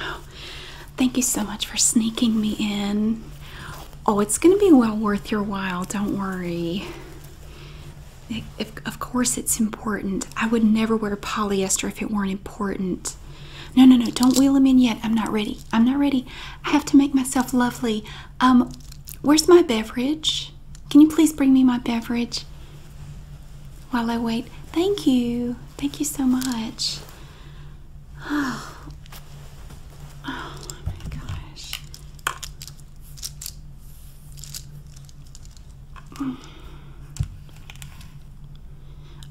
Oh, thank you so much for sneaking me in. Oh, it's going to be well worth your while. Don't worry. of course, it's important. I would never wear polyester if it weren't important. No, no, no. Don't wheel them in yet. I'm not ready. I'm not ready. I have to make myself lovely. Um, where's my beverage? Can you please bring me my beverage? While I wait, thank you. Thank you so much. Oh, oh my gosh.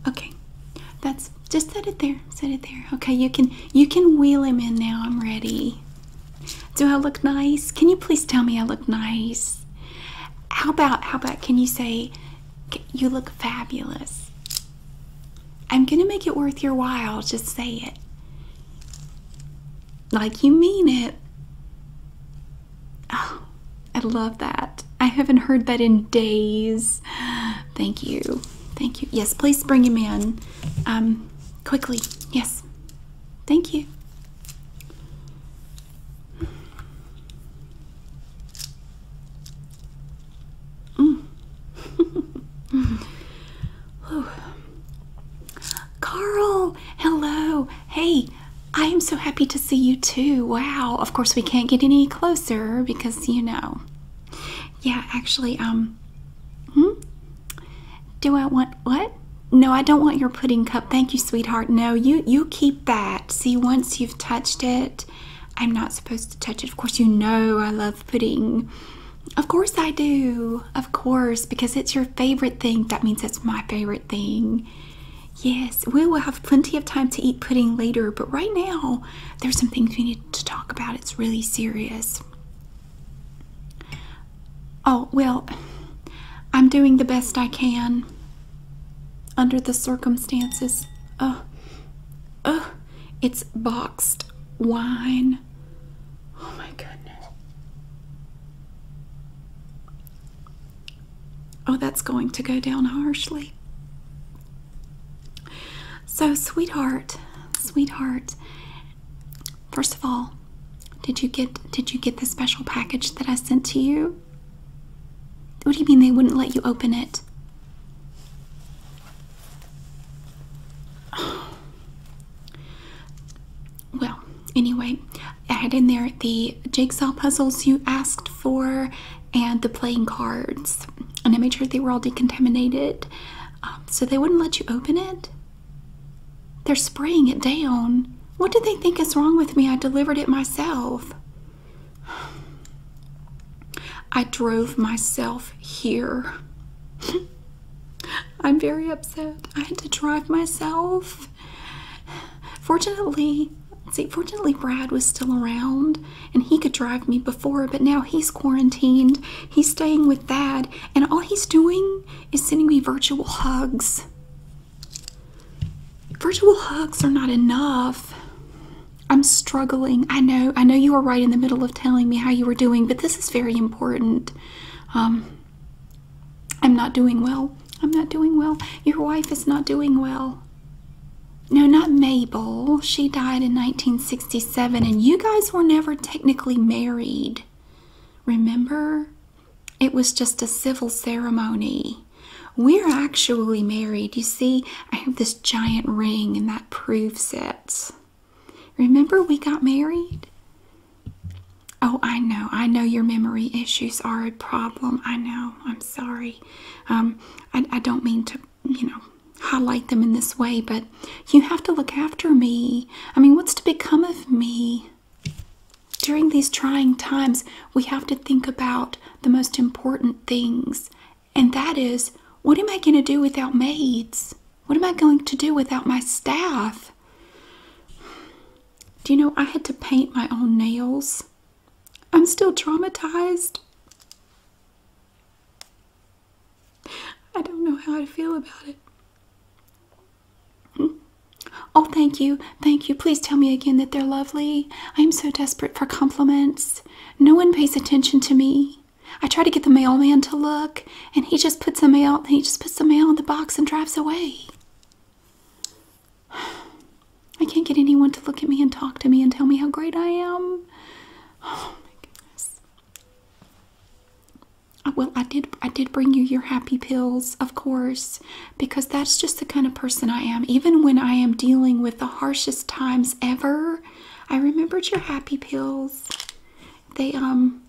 Okay. That's just set it there. Set it there. Okay, you can you can wheel him in now. I'm ready. Do I look nice? Can you please tell me I look nice? How about how about can you say you look fabulous. I'm going to make it worth your while. Just say it. Like you mean it. Oh, I love that. I haven't heard that in days. Thank you. Thank you. Yes, please bring him in. Um, quickly. Yes. Thank you. Mm. Carl, hello. Hey, I am so happy to see you too. Wow. Of course, we can't get any closer because you know. Yeah, actually, um, hmm? do I want what? No, I don't want your pudding cup. Thank you, sweetheart. No, you you keep that. See, once you've touched it, I'm not supposed to touch it. Of course, you know I love pudding. Of course, I do. Of course, because it's your favorite thing. That means it's my favorite thing. Yes, we will have plenty of time to eat pudding later, but right now, there's some things we need to talk about. It's really serious. Oh, well, I'm doing the best I can. Under the circumstances, oh, oh, it's boxed wine. Oh my goodness. Oh, that's going to go down harshly. So, sweetheart, sweetheart, first of all, did you get did you get the special package that I sent to you? What do you mean they wouldn't let you open it? Well, anyway, I had in there the jigsaw puzzles you asked for and the playing cards. And I made sure they were all decontaminated. Um, so they wouldn't let you open it? They're spraying it down. What do they think is wrong with me? I delivered it myself. I drove myself here. I'm very upset. I had to drive myself. Fortunately, see, fortunately, Brad was still around and he could drive me before, but now he's quarantined. He's staying with Dad, and all he's doing is sending me virtual hugs. Virtual hugs are not enough. I'm struggling. I know. I know you were right in the middle of telling me how you were doing, but this is very important. Um, I'm not doing well. I'm not doing well. Your wife is not doing well. No, not Mabel. She died in 1967, and you guys were never technically married. Remember? It was just a civil ceremony. We're actually married. You see, I have this giant ring, and that proves it. Remember, we got married? Oh, I know. I know your memory issues are a problem. I know. I'm sorry. Um, I, I don't mean to, you know, highlight them in this way, but you have to look after me. I mean, what's to become of me? During these trying times, we have to think about the most important things and that is what am I going to do without maids? What am I going to do without my staff? Do you know I had to paint my own nails? I'm still traumatized. I don't know how I feel about it. Oh, thank you. Thank you. Please tell me again that they're lovely. I'm so desperate for compliments. No one pays attention to me. I try to get the mailman to look, and he just puts the mail he just puts the mail in the box and drives away. I can't get anyone to look at me and talk to me and tell me how great I am. Oh my goodness. Uh, well, I did I did bring you your happy pills, of course, because that's just the kind of person I am. Even when I am dealing with the harshest times ever, I remembered your happy pills. They um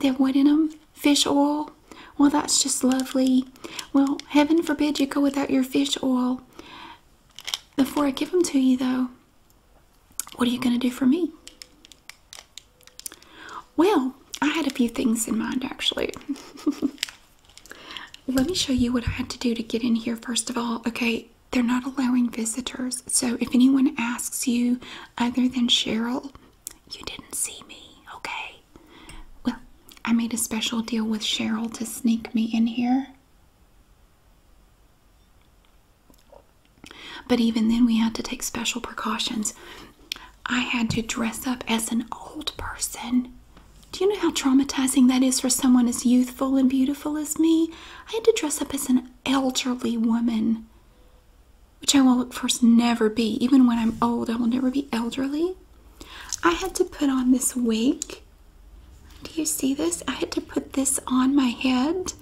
they what in them fish oil. Well, that's just lovely. Well, heaven forbid you go without your fish oil. Before I give them to you, though, what are you going to do for me? Well, I had a few things in mind actually. Let me show you what I had to do to get in here, first of all. Okay, they're not allowing visitors. So if anyone asks you other than Cheryl, you didn't see me, okay? Well, I made a special deal with Cheryl to sneak me in here. But even then, we had to take special precautions. I had to dress up as an old person do you know how traumatizing that is for someone as youthful and beautiful as me? I had to dress up as an elderly woman, which I will, of course, never be. Even when I'm old, I will never be elderly. I had to put on this wig. Do you see this? I had to put this on my head,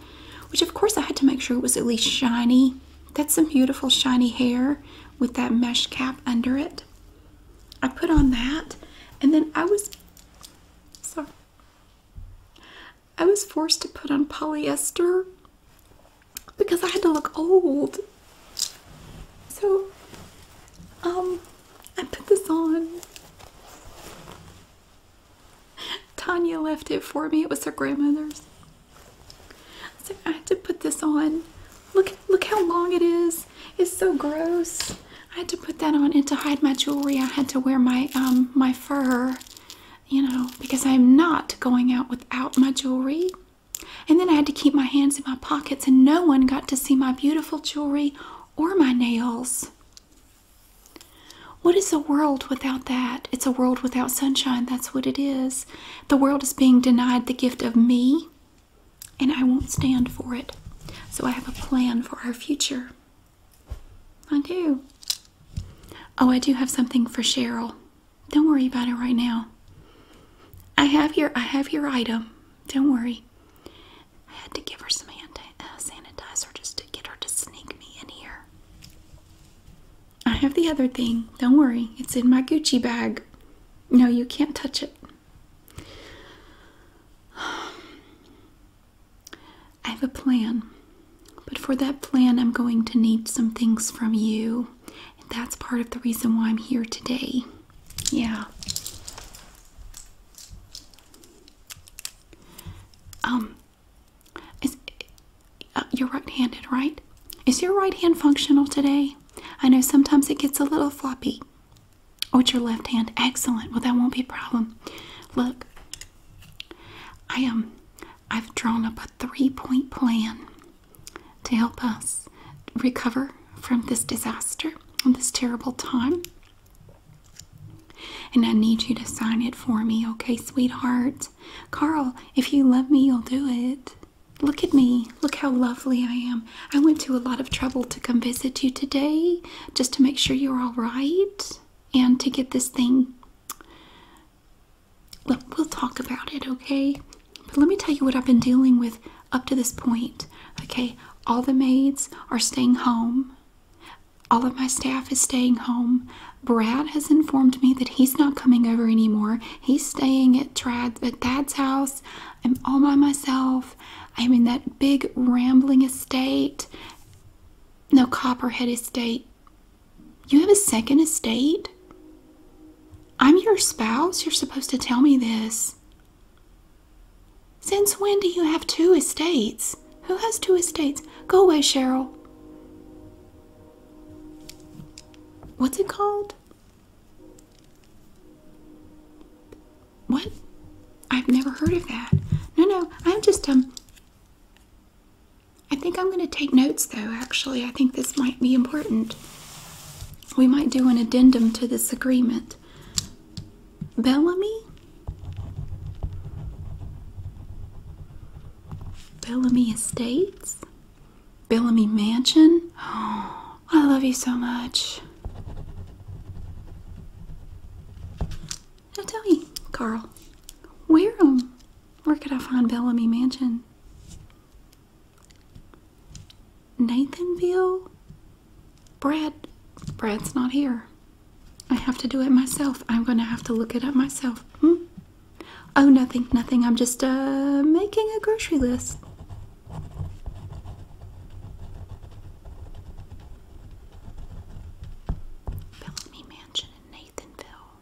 which, of course, I had to make sure it was at least shiny. That's some beautiful, shiny hair with that mesh cap under it. I put on that, and then I was so I was forced to put on polyester because I had to look old. So um I put this on. Tanya left it for me. It was her grandmother's. So I had to put this on. Look look how long it is. It's so gross. I had to put that on and to hide my jewelry. I had to wear my um my fur, you know, because I'm not going out without my jewelry. And then I had to keep my hands in my pockets, and no one got to see my beautiful jewelry or my nails. What is a world without that? It's a world without sunshine. That's what it is. The world is being denied the gift of me, and I won't stand for it. So I have a plan for our future. I do. Oh, I do have something for Cheryl. Don't worry about it right now. I have your I have your item. Don't worry. I had to give her some hand uh, sanitizer just to get her to sneak me in here. I have the other thing. Don't worry. It's in my Gucci bag. No, you can't touch it. I have a plan, but for that plan, I'm going to need some things from you. that's part of the reason why I'm here today. Yeah. Um, is, uh, you're right handed, right? Is your right hand functional today? I know sometimes it gets a little floppy. Oh, it's your left hand. Excellent. Well, that won't be a problem. Look, I am. Um, I've drawn up a three-point plan to help us recover from this disaster from this terrible time. And I need you to sign it for me, okay, sweetheart? Carl, if you love me, you'll do it. Look at me. Look how lovely I am. I went to a lot of trouble to come visit you today just to make sure you're all right and to get this thing. Look, we'll talk about it, okay? But let me tell you what I've been dealing with up to this point, okay? All the maids are staying home. All of my staff is staying home. Brad has informed me that he's not coming over anymore. He's staying at at Dad's house. I'm all by myself south. I mean, that big rambling estate. No, Copperhead Estate. You have a second estate? I'm your spouse. You're supposed to tell me this. Since when do you have two estates? Who has two estates? Go away, Cheryl. What's it called? What? I've never heard of that. No, no, I'm just, um, I think I'm going to take notes though, actually. I think this might be important. We might do an addendum to this agreement. Bellamy? Bellamy Estates? Bellamy Mansion? Oh, I love you so much tell me, Carl, where um, where could I find Bellamy Mansion? Nathanville? Brad, Brad's not here. I have to do it myself. I'm going to have to look it up myself. Hmm? Oh, nothing, nothing. I'm just uh, making a grocery list. Bellamy Mansion in Nathanville.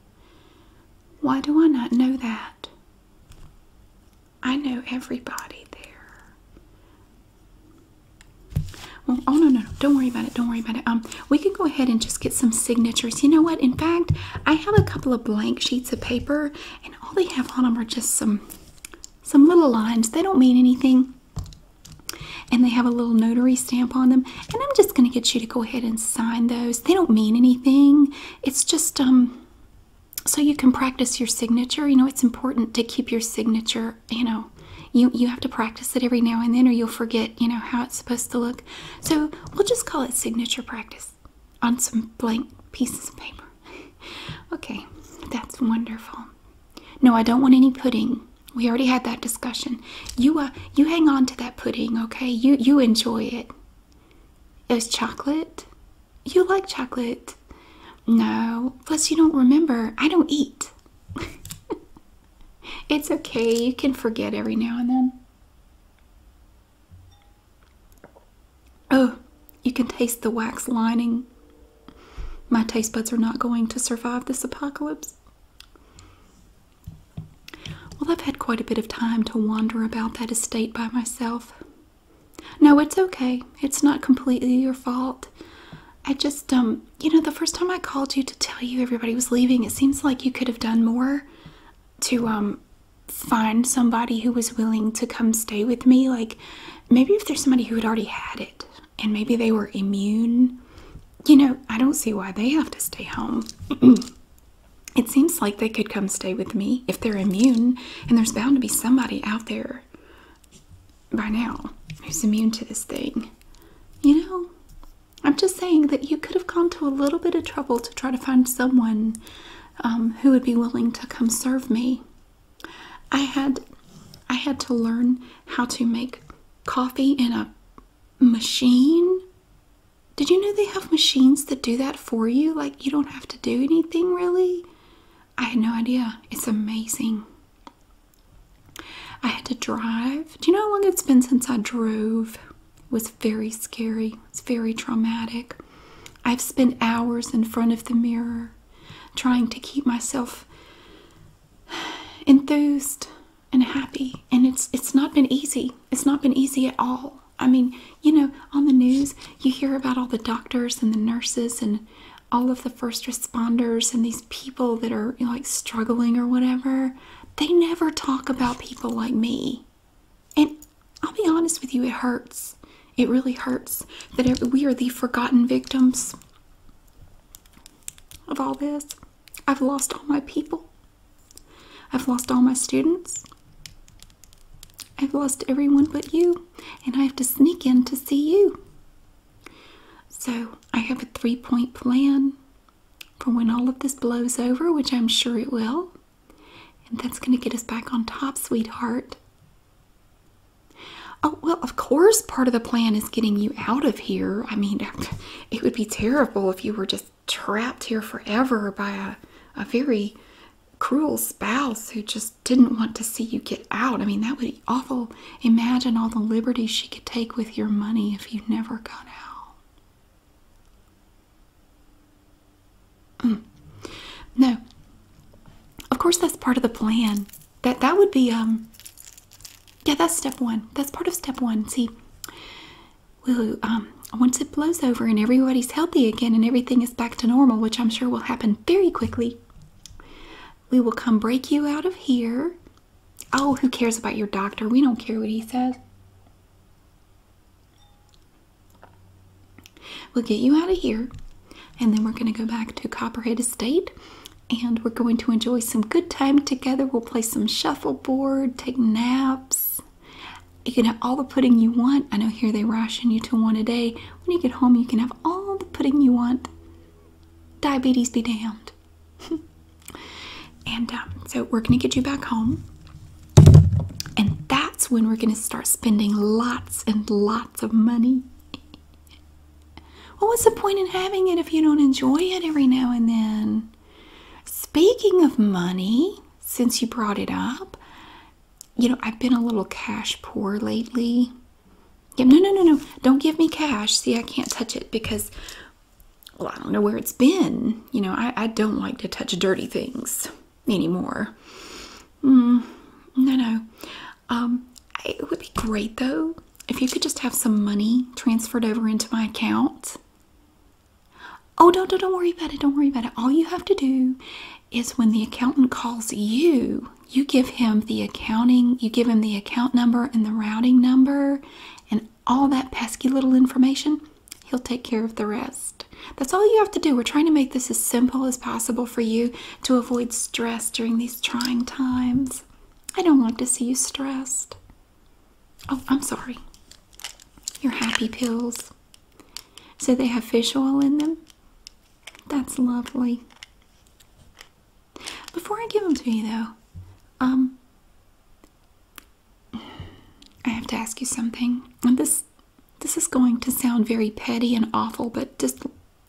Why do I not know that? I know everybody there. Well, oh no, no, no, don't worry about it. Don't worry about it. Um, we can go ahead and just get some signatures. You know what? In fact, I have a couple of blank sheets of paper, and all they have on them are just some some little lines. They don't mean anything and they have a little notary stamp on them and i'm just going to get you to go ahead and sign those they don't mean anything it's just um, so you can practice your signature you know it's important to keep your signature you know you you have to practice it every now and then or you'll forget you know how it's supposed to look so we'll just call it signature practice on some blank pieces of paper okay that's wonderful no, I don't want any pudding. We already had that discussion. You uh you hang on to that pudding, okay? You you enjoy it. Is chocolate? You like chocolate? No. Plus you don't remember. I don't eat. it's okay. You can forget every now and then. Oh, you can taste the wax lining. My taste buds are not going to survive this apocalypse. Well, I've had quite a bit of time to wander about that estate by myself. No, it's okay. It's not completely your fault. I just, um, you know, the first time I called you to tell you everybody was leaving, it seems like you could have done more to, um, find somebody who was willing to come stay with me. Like, maybe if there's somebody who had already had it, and maybe they were immune. You know, I don't see why they have to stay home. it seems like they could come stay with me if they're immune, and there's bound to be somebody out there by now who's immune to this thing. You know, I'm just saying that you could have gone to a little bit of trouble to try to find someone um, who would be willing to come serve me. I had I had to learn how to make coffee in a machine. Did you know they have machines that do that for you? Like you don't have to do anything really? I had no idea. It's amazing. I had to drive. Do you know how long it's been since I drove? It was very scary. It's very traumatic. I've spent hours in front of the mirror trying to keep myself enthused and happy and it's it's not been easy it's not been easy at all i mean you know on the news you hear about all the doctors and the nurses and all of the first responders and these people that are like struggling or whatever they never talk about people like me and i'll be honest with you it hurts it really hurts that we are the forgotten victims of all this. I've lost all my people. I've lost all my students. I've lost everyone but you, and I have to sneak in to see you. So I have a three point plan for when all of this blows over, which I'm sure it will. And that's going to get us back on top, sweetheart. Oh, well, of course, part of the plan is getting you out of here. I mean, it would be terrible if you were just trapped here forever by a, a very cruel spouse who just didn't want to see you get out. I mean, that would be awful. Imagine all the liberties she could take with your money if you never got out. Mm. No. Of course, that's part of the plan. That that would be um yeah, that's step one. That's part of step one. See, we'll, um, once it blows over and everybody's healthy again and everything is back to normal, which I'm sure will happen very quickly, we will come break you out of here. Oh, who cares about your doctor? We don't care what he says. We'll get you out of here, and then we're going to go back to Copperhead Estate and we're going to enjoy some good time together. We'll play some shuffleboard, take naps. You can have all the pudding you want. I know here they ration you to one a day. When you get home, you can have all the pudding you want. Diabetes be damned. and um, so we're going to get you back home. And that's when we're going to start spending lots and lots of money. Well, what's the point in having it if you don't enjoy it every now and then? Speaking of money, since you brought it up, you know, I've been a little cash poor lately. Yeah, no, no, no, no. Don't give me cash. See, I can't touch it because, well, I don't know where it's been. You know, I, I don't like to touch dirty things anymore. Mm, no, no. Um, it would be great though if you could just have some money transferred over into my account. Oh, don't, don't, don't worry about it. Don't worry about it. All you have to do is when the accountant calls you, you give him the accounting, you give him the account number and the routing number and all that pesky little information. He'll take care of the rest. That's all you have to do. We're trying to make this as simple as possible for you to avoid stress during these trying times. I don't want to see you stressed. Oh, I'm sorry. Your happy pills. So they have fish oil in them? That's lovely. Before I give them to you, though, um, I have to ask you something. And this, this is going to sound very petty and awful, but just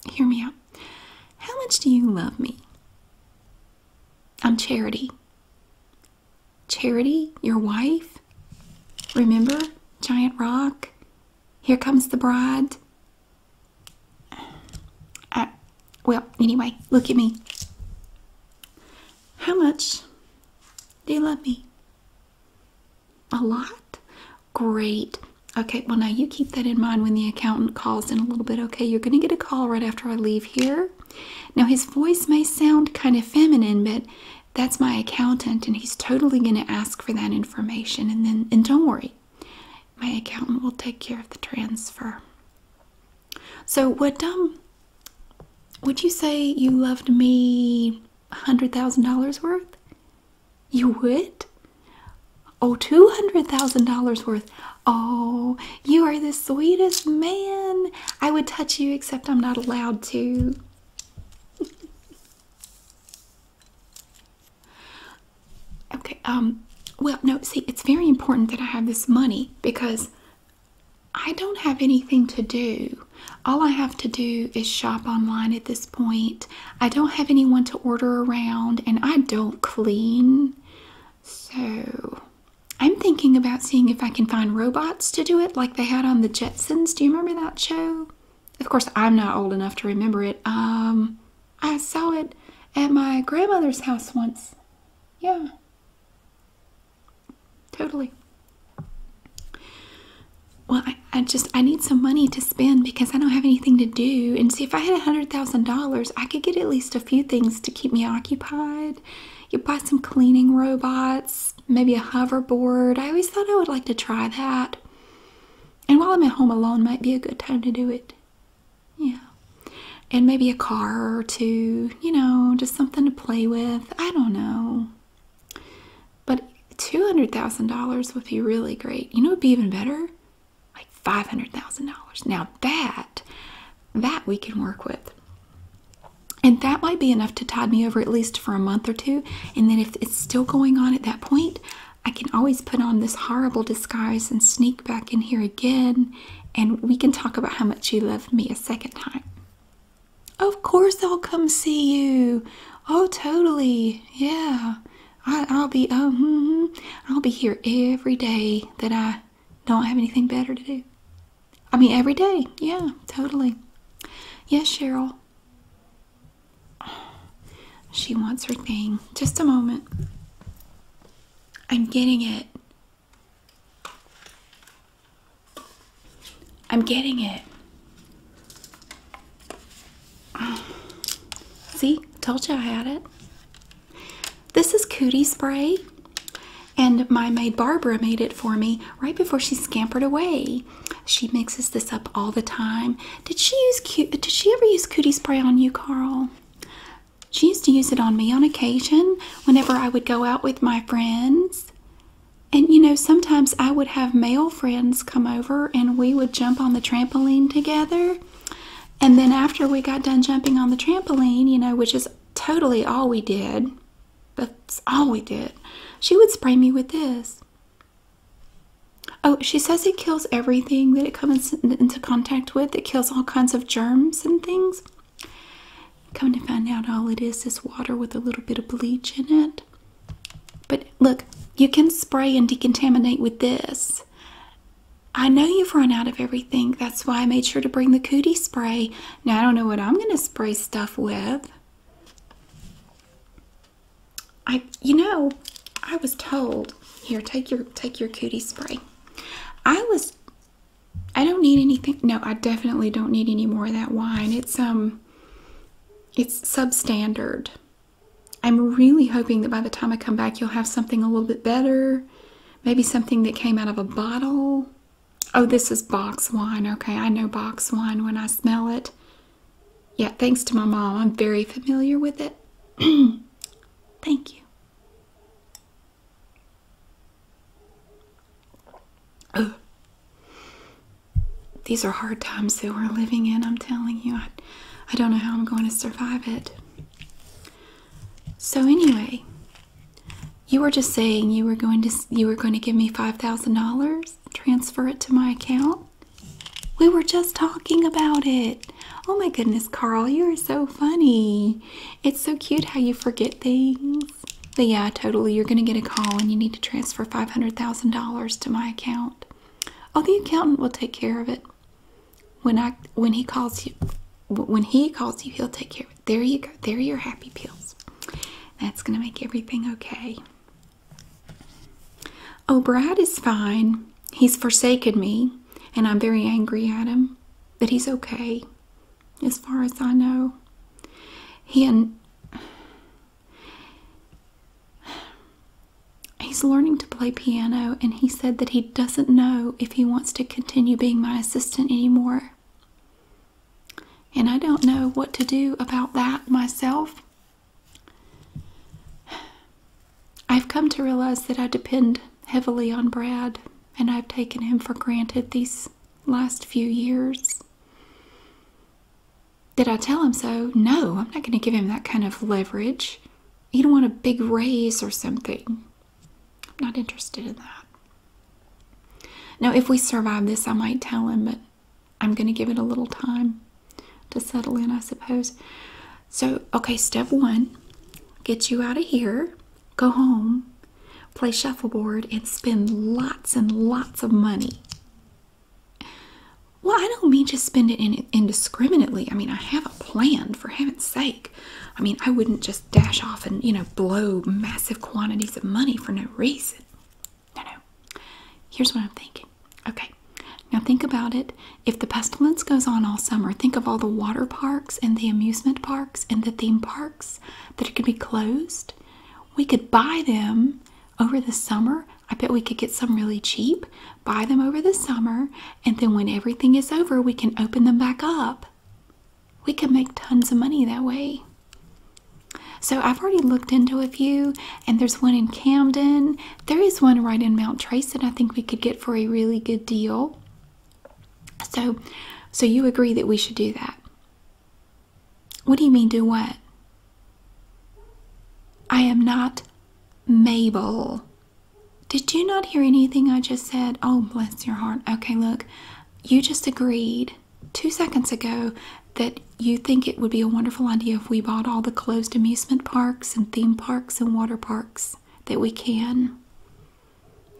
hear me out. How much do you love me? I'm Charity. Charity, your wife? Remember? Giant Rock? Here comes the bride? I, well, anyway, look at me. How much do you love me? A lot? Great. Okay, well, now you keep that in mind when the accountant calls in a little bit. Okay, you're going to get a call right after I leave here. Now, his voice may sound kind of feminine, but that's my accountant, and he's totally going to ask for that information. And then, and don't worry, my accountant will take care of the transfer. So, would um, would you say you loved me? a $100,000 worth? You would? Oh, $200,000 worth. Oh, you are the sweetest man. I would touch you, except I'm not allowed to. okay, um, well, no, see, it's very important that I have this money because I don't have anything to do. All I have to do is shop online at this point. I don't have anyone to order around, and I don't clean. So I'm thinking about seeing if I can find robots to do it like they had on the Jetsons. Do you remember that show? Of course, I'm not old enough to remember it. Um, I saw it at my grandmother's house once. Yeah. Totally. Well, I, I just, I need some money to spend because I don't have anything to do. And see, if I had a $100,000, I could get at least a few things to keep me occupied. You buy some cleaning robots, maybe a hoverboard. I always thought I would like to try that. And while I'm at home alone, might be a good time to do it. Yeah. And maybe a car or two, you know, just something to play with. I don't know. But $200,000 would be really great. You know, it'd be even better like $500,000. Now that that we can work with. And that might be enough to tide me over at least for a month or two. And then if it's still going on at that point, I can always put on this horrible disguise and sneak back in here again. And we can talk about how much you love me a second time. Of course, I'll come see you. Oh, totally. Yeah. I, will be, Um, I'll be here every day that I don't have anything better to do. I mean, every day. Yeah, totally. Yes, Cheryl. She wants her thing. Just a moment. I'm getting it. I'm getting it. See? Told you I had it. This is Cootie Spray, and my maid Barbara made it for me right before she scampered away. She mixes this up all the time. Did she use did she ever use Cootie Spray on you, Carl? She used to use it on me on occasion whenever I would go out with my friends. And you know, sometimes I would have male friends come over and we would jump on the trampoline together. And then after we got done jumping on the trampoline, you know, which is totally all we did, that's all we did, she would spray me with this. Oh, she says it kills everything that it comes into contact with. It kills all kinds of germs and things. Come to find out, all it is is water with a little bit of bleach in it. But look, you can spray and decontaminate with this. I know you've run out of everything. That's why I made sure to bring the cootie spray. Now I don't know what I'm going to spray stuff with. I, you know, I was told here. Take your take your cootie spray. I was. I don't need anything. No, I definitely don't need any more of that wine. It's um. It's substandard. I'm really hoping that by the time I come back, you'll have something a little bit better maybe something that came out of a bottle. Oh, this is box wine. Okay, I know box wine when I smell it. Yeah, thanks to my mom, I'm very familiar with it. Thank you. These are hard times that we're living in, I'm telling you. I, I don't know how I'm going to survive it. So anyway, you were just saying you were going to you were going to give me five thousand dollars, transfer it to my account. We were just talking about it. Oh my goodness, Carl, you are so funny. It's so cute how you forget things. But yeah, totally. You're going to get a call and you need to transfer $500,000 to my account. Oh, the accountant will take care of it. When I when he calls you, when he calls you, he'll take care of it. There you go. There are your happy pills. That's gonna make everything okay. Oh, Brad is fine. He's forsaken me, and I'm very angry at him. But he's okay, as far as I know. He and he's learning to play piano, and he said that he doesn't know if he wants to continue being my assistant anymore. And I don't know what to do about that myself. I've come to realize that I depend heavily on Brad, and I've taken him for granted these last few years. Did I tell him so? No, I'm not going to give him that kind of leverage. He'd want a big raise or something. I'm not interested in that. Now, if we survive this, I might tell him, but I'm going to give it a little time to settle in, I suppose. So, okay, step one get you out of here, go home, play shuffleboard, and spend lots and lots of money. Well, I don't mean to spend it in indiscriminately. I mean, I have a plan, for heaven's sake. I mean, I wouldn't just dash off and, you know, blow massive quantities of money for no reason. No, no. Here's what I'm thinking. Okay. Now think about it. If the pestilence goes on all summer, think of all the water parks and the amusement parks and the theme parks that could be closed. We could buy them over the summer. I bet we could get some really cheap, buy them over the summer, and then when everything is over, we can open them back up we could make tons of money that way. So I've already looked into a few, and there's one in Camden. There is one right in Mount Trace that I think we could get for a really good deal. So, so you agree that we should do that? What do you mean, do what? I am not Mabel. Did you not hear anything I just said? Oh, bless your heart. Okay, look, you just agreed two seconds ago that you think it would be a wonderful idea if we bought all the closed amusement parks and theme parks and water parks that we can.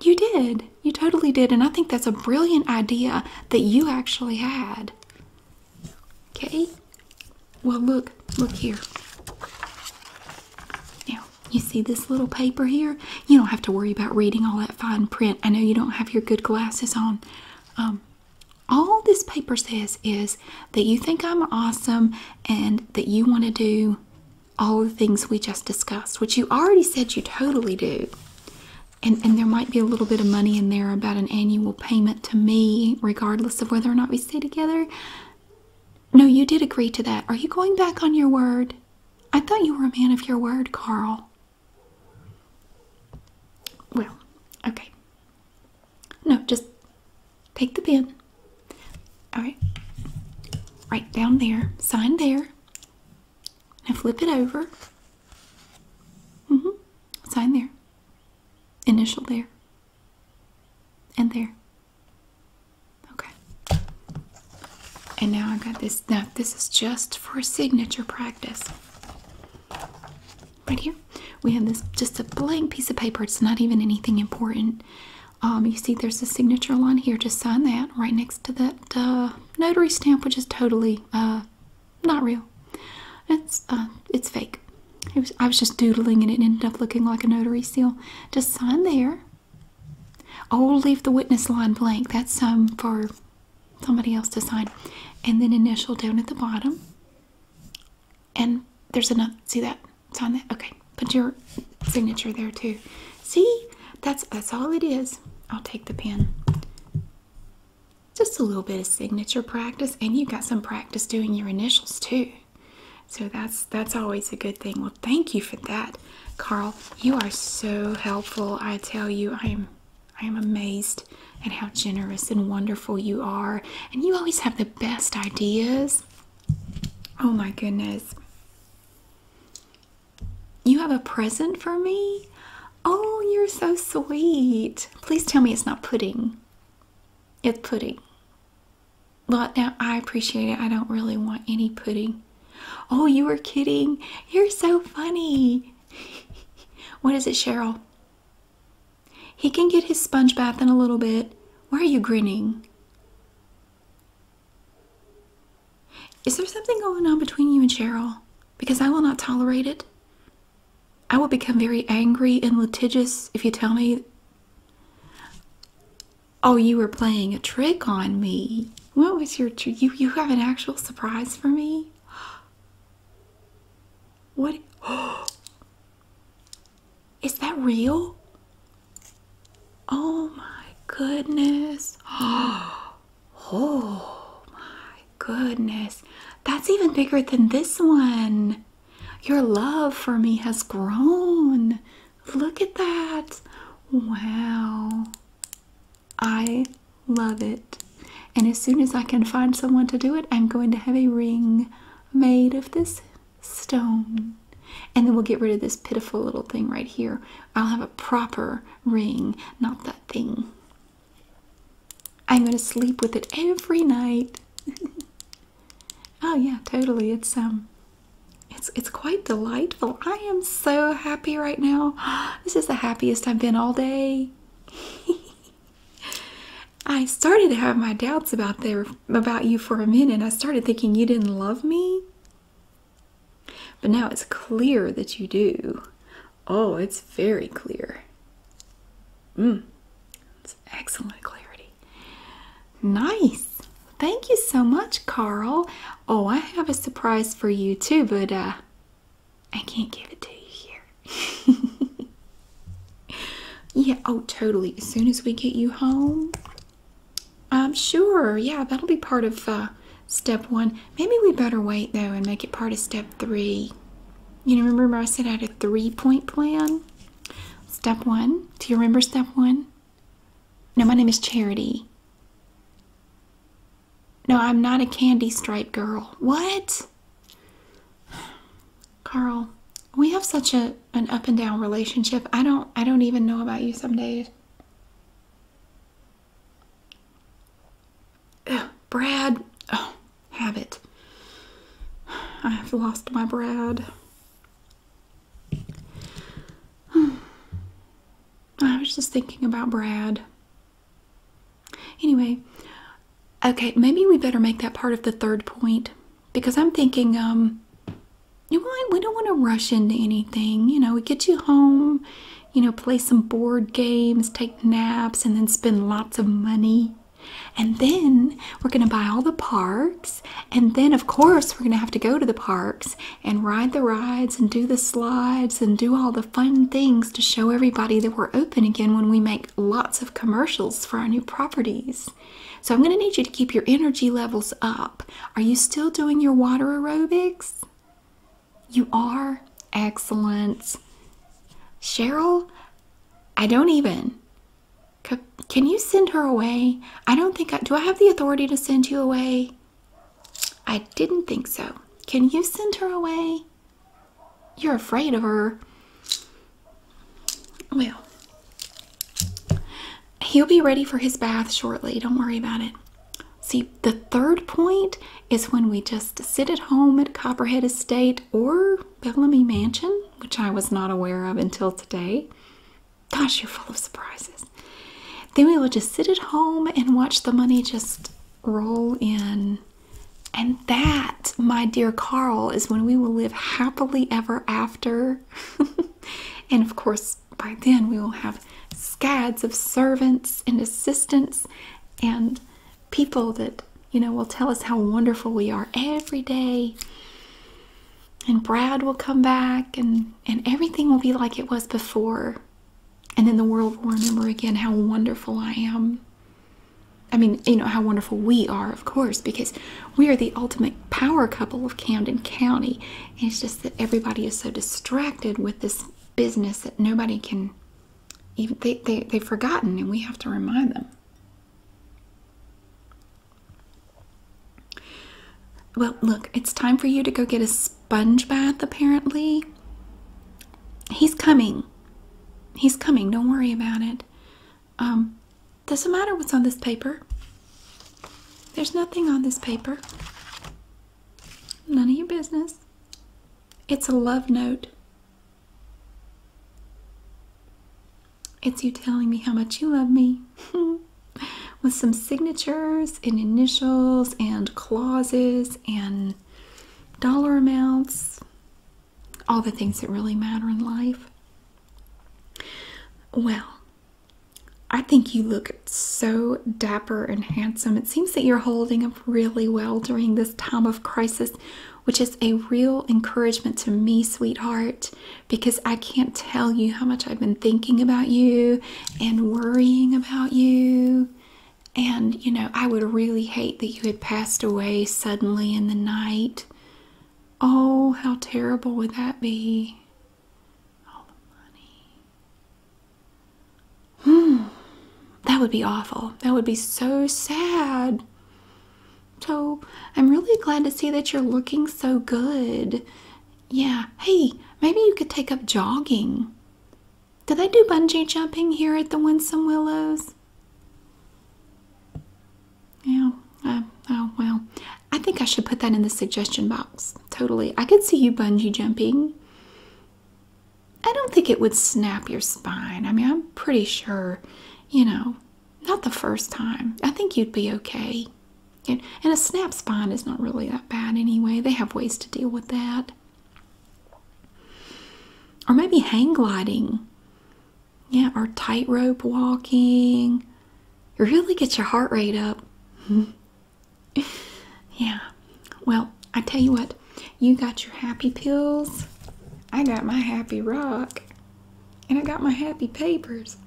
You did. You totally did. And I think that's a brilliant idea that you actually had. Okay? Well, look, look here. Now, you see this little paper here? You don't have to worry about reading all that fine print. I know you don't have your good glasses on. Um, all this paper says is that you think I'm awesome and that you want to do all the things we just discussed, which you already said you totally do. And, and there might be a little bit of money in there about an annual payment to me, regardless of whether or not we stay together. No, you did agree to that. Are you going back on your word? I thought you were a man of your word, Carl. Well, okay. No, just take the pen. All right. Right down there. Sign there. Now flip it over. Mm hmm. Sign there. Initial there. And there. Okay. And now I've got this. Now, this is just for signature practice. Right here, we have this just a blank piece of paper. It's not even anything important. Um, you see, there's a signature line here. Just sign that right next to that uh, notary stamp, which is totally uh, not real. It's uh, it's fake. It was, I was just doodling and it ended up looking like a notary seal. Just sign there i oh, will leave the witness line blank. That's um for somebody else to sign. And then initial down at the bottom. And there's another see that? Sign that? Okay. Put your signature there too. See? That's that's all it is. I'll take the pen. Just a little bit of signature practice, and you got some practice doing your initials too. So that's that's always a good thing. Well, thank you for that. Carl, you are so helpful. I tell you, I am I am amazed at how generous and wonderful you are. And you always have the best ideas. Oh my goodness. You have a present for me? Oh, you're so sweet. Please tell me it's not pudding. It's pudding. Well, now I appreciate it. I don't really want any pudding. Oh, you were kidding. You're so funny. what is it, Cheryl? He can get his sponge bath in a little bit. Why are you grinning? Is there something going on between you and Cheryl? Because I will not tolerate it. I will become very angry and litigious if you tell me. Oh, you were playing a trick on me. What was your you you have an actual surprise for me? What is that real? Oh my goodness. Oh my goodness. That's even bigger than this one. Your love for me has grown. Look at that. Wow. I love it. And as soon as I can find someone to do it, I'm going to have a ring made of this stone. And then we'll get rid of this pitiful little thing right here. I'll have a proper ring, not that thing. I'm going to sleep with it every night. oh yeah, totally. It's um it's it's quite delightful. I am so happy right now. This is the happiest I've been all day. I started to have my doubts about there about you for a minute. I started thinking you didn't love me. But now it's clear that you do. Oh, it's very clear. Mmm. It's excellent clarity. Nice. Thank you so much, Carl. Oh, I have a surprise for you too, but uh, I can't give it to you here. yeah, oh, totally. As soon as we get you home, I'm um, sure. Yeah, that'll be part of uh, step one. Maybe we better wait though and make it part of step three. You remember I said I had a three point plan? Step one. Do you remember step one? No, my name is Charity. No, I'm not a candy stripe girl. What? Carl, we have such a an up and down relationship. I don't I don't even know about you some days. Brad. Oh, have it. I have lost my Brad. I was just thinking about Brad. Anyway, okay, maybe we better make that part of the third point because I'm thinking, um, you know, we don't want to rush into anything. You know, we get you home, you know, play some board games, take naps, and then spend lots of money. And then we're going to buy all the parks. And then, of course, we're going to have to go to the parks and ride the rides and do the slides and do all the fun things to show everybody that we're open again when we make lots of commercials for our new properties. So I'm going to need you to keep your energy levels up. Are you still doing your water aerobics? You are? Excellent. Cheryl, I don't even. Can you send her away? I don't think I do. I have the authority to send you away. I didn't think so. Can you send her away? You're afraid of her. Well, he'll be ready for his bath shortly. Don't worry about it. See, the third point is when we just sit at home at Copperhead Estate or Bellamy Mansion, which I was not aware of until today. Gosh, you're full of surprises. Then we will just sit at home and watch the money just roll in. And that, my dear Carl, is when we will live happily ever after. and of course, by then we will have scads of servants and assistants and people that, you know, will tell us how wonderful we are every day. And Brad will come back and and everything will be like it was before. And then the world will remember again how wonderful I am. I mean, you know, how wonderful we are, of course, because we are the ultimate power couple of Camden County. And it's just that everybody is so distracted with this business that nobody can even, they, they, they've forgotten, and we have to remind them. Well, look, it's time for you to go get a sponge bath, apparently. He's coming. He's coming. Don't worry about it. Um, doesn't matter what's on this paper. There's nothing on this paper. None of your business. It's a love note. It's you telling me how much you love me. with some signatures and initials and clauses and dollar amounts, all the things that really matter in life. Well, I think you look so dapper and handsome. It seems that you're holding up really well during this time of crisis, which is a real encouragement to me, sweetheart, because I can't tell you how much I've been thinking about you and worrying about you. And, you know, I would really hate that you had passed away suddenly in the night. Oh, how terrible would that be? All the money. Hmm. That would be awful. That would be so sad. So, I'm really glad to see that you're looking so good. Yeah. Hey, maybe you could take up jogging. Did they do bungee jumping here at the Winsome Willows? Yeah. Uh, oh, well. I think I should put that in the suggestion box. Totally. I could see you bungee jumping. I don't think it would snap your spine. I mean, I'm pretty sure, you know, not the first time. I think you'd be okay. and a snap spine is not really that bad anyway. They have ways to deal with that. Or maybe hang gliding. Yeah, or tightrope walking. Really get your heart rate up. yeah. Well, I tell you what, you got your happy pills. I got my happy rock. And I got my happy papers.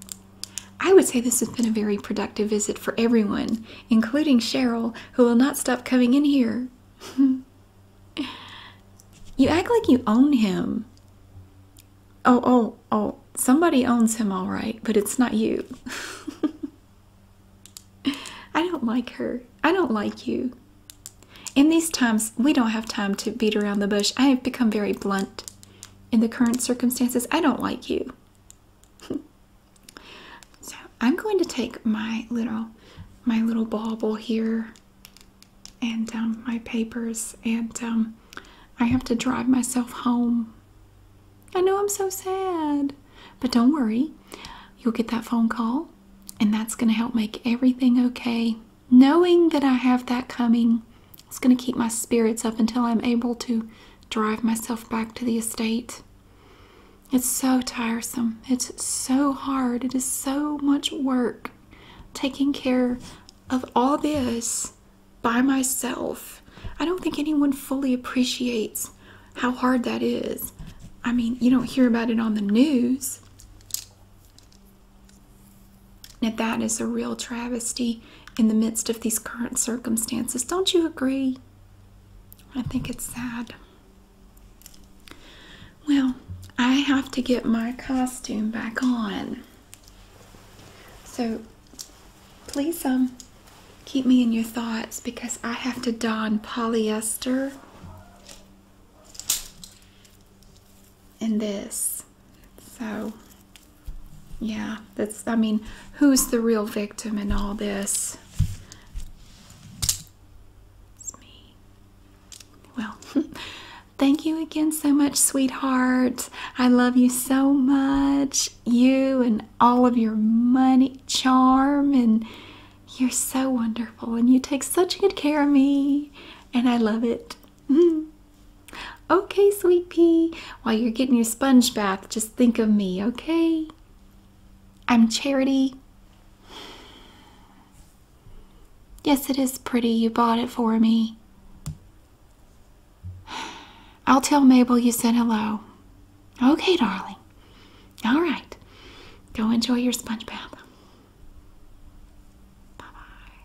I would say this has been a very productive visit for everyone, including Cheryl, who will not stop coming in here. you act like you own him. Oh, oh, oh, somebody owns him, all right, but it's not you. I don't like her. I don't like you. In these times, we don't have time to beat around the bush. I have become very blunt in the current circumstances. I don't like you. So I'm going to take my little my little bauble here and um, my papers and um, I have to drive myself home. I know I'm so sad, but don't worry. You'll get that phone call and that's going to help make everything okay. Knowing that I have that coming, it's going to keep my spirits up until I'm able to drive myself back to the estate. It's so tiresome. It's so hard. It is so much work taking care of all this by myself. I don't think anyone fully appreciates how hard that is. I mean, you don't hear about it on the news. Now, that is a real travesty in the midst of these current circumstances. Don't you agree? I think it's sad. Well, I have to get my costume back on. So please um keep me in your thoughts because I have to don polyester in this. So yeah, that's I mean, who's the real victim in all this? It's me. Well, thank you again so much, sweetheart. I love you so much. You and all of your money, charm, and you're so wonderful. And you take such good care of me, and I love it. okay, sweet pea. While you're getting your sponge bath, just think of me, okay? I'm Charity. Yes, it is pretty. You bought it for me. I'll tell Mabel you said hello. Okay, darling. All right. Go enjoy your sponge bath. Bye bye.